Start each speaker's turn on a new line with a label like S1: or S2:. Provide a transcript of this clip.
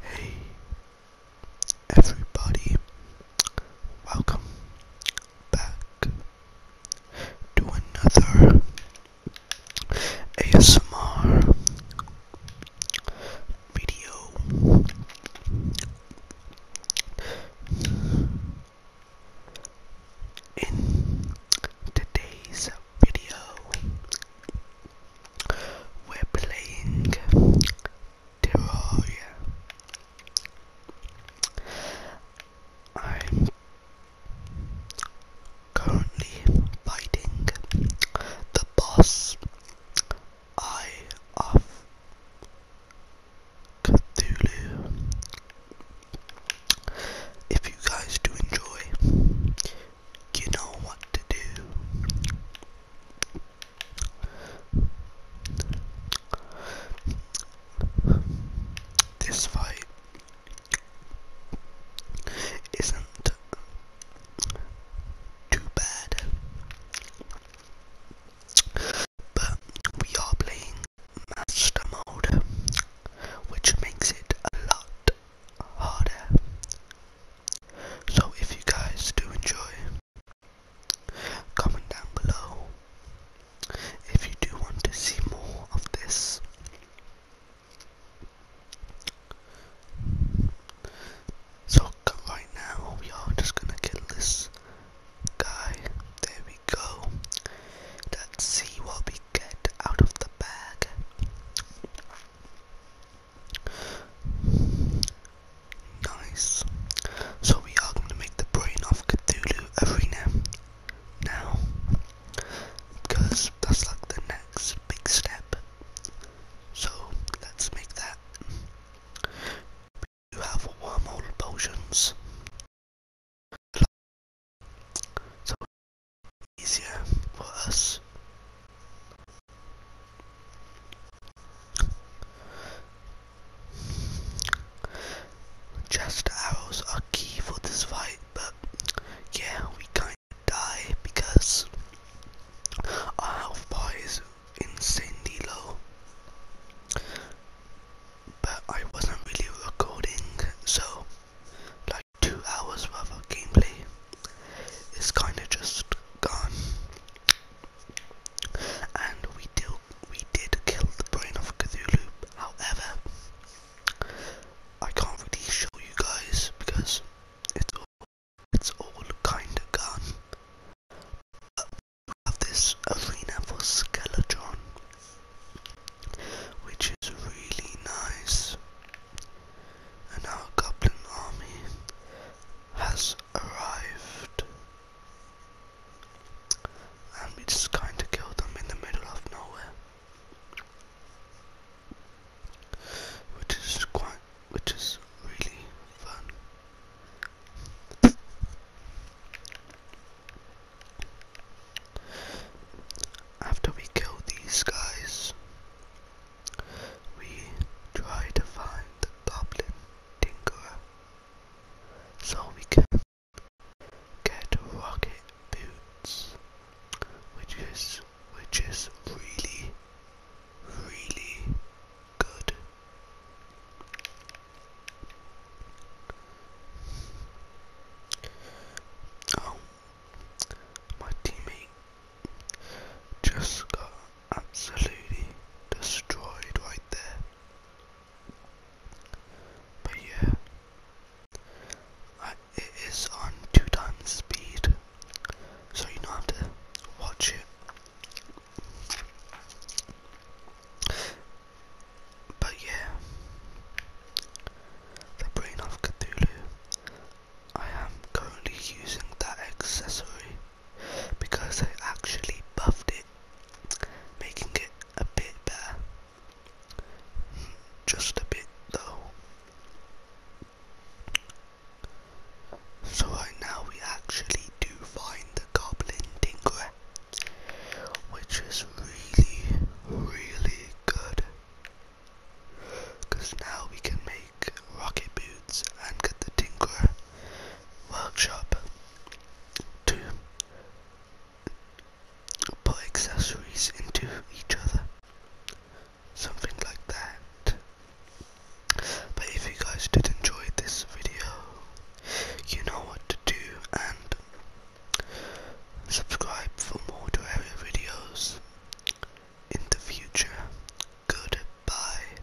S1: Hey, everybody, welcome back to another ASMR video. In today's video. We're playing Terraria. I'm currently fighting the boss Eye of Cthulhu if you guys do enjoy, you know what to do. This fight isn't too bad, but we are playing Master Mode, which makes it a lot harder. So if you guys do enjoy, comment down below if you do want to see more of this. So right now we are just gonna kill this guy. There we go. Let's see what we get out of the bag. Nice. So we are going to make the brain of Cthulhu Arena now. Because that's like the next big step. So let's make that you have wormhole potions. So easier for us.
S2: Just arrows are key for this fight, but yeah, we kinda die because our health bar insanely low. But I wasn't really recording, so like two hours worth of gameplay is kind of just gone. And we did, we did kill the brain of Cthulhu, however, I can't really show you guys because it's it's all kinda
S3: gone. But uh, we have this arena for Skeletron, which is really nice. And our goblin army has arrived. And we just kinda killed them in the middle of nowhere which is quite, which is really fun. After we kill these guys,
S4: we try to find the goblin tinkerer so we can get rocket boots, which is which is really, really good. Oh, my teammate just got absolutely destroyed right there. But yeah, uh, it is on two times speed, so you don't have to watch it. But yeah, the Brain of Cthulhu. I am currently using that accessory
S5: because I actually buffed it, making it a bit better. Just a bit though. So right now we actually do find the goblin tinker, which is really, really good. Cause now we can make rocket boots and get the tinker workshop to put accessories into each other. Something like that. But if you guys did enjoy this video, you know what to do and subscribe for more Terraria videos in the future. Goodbye.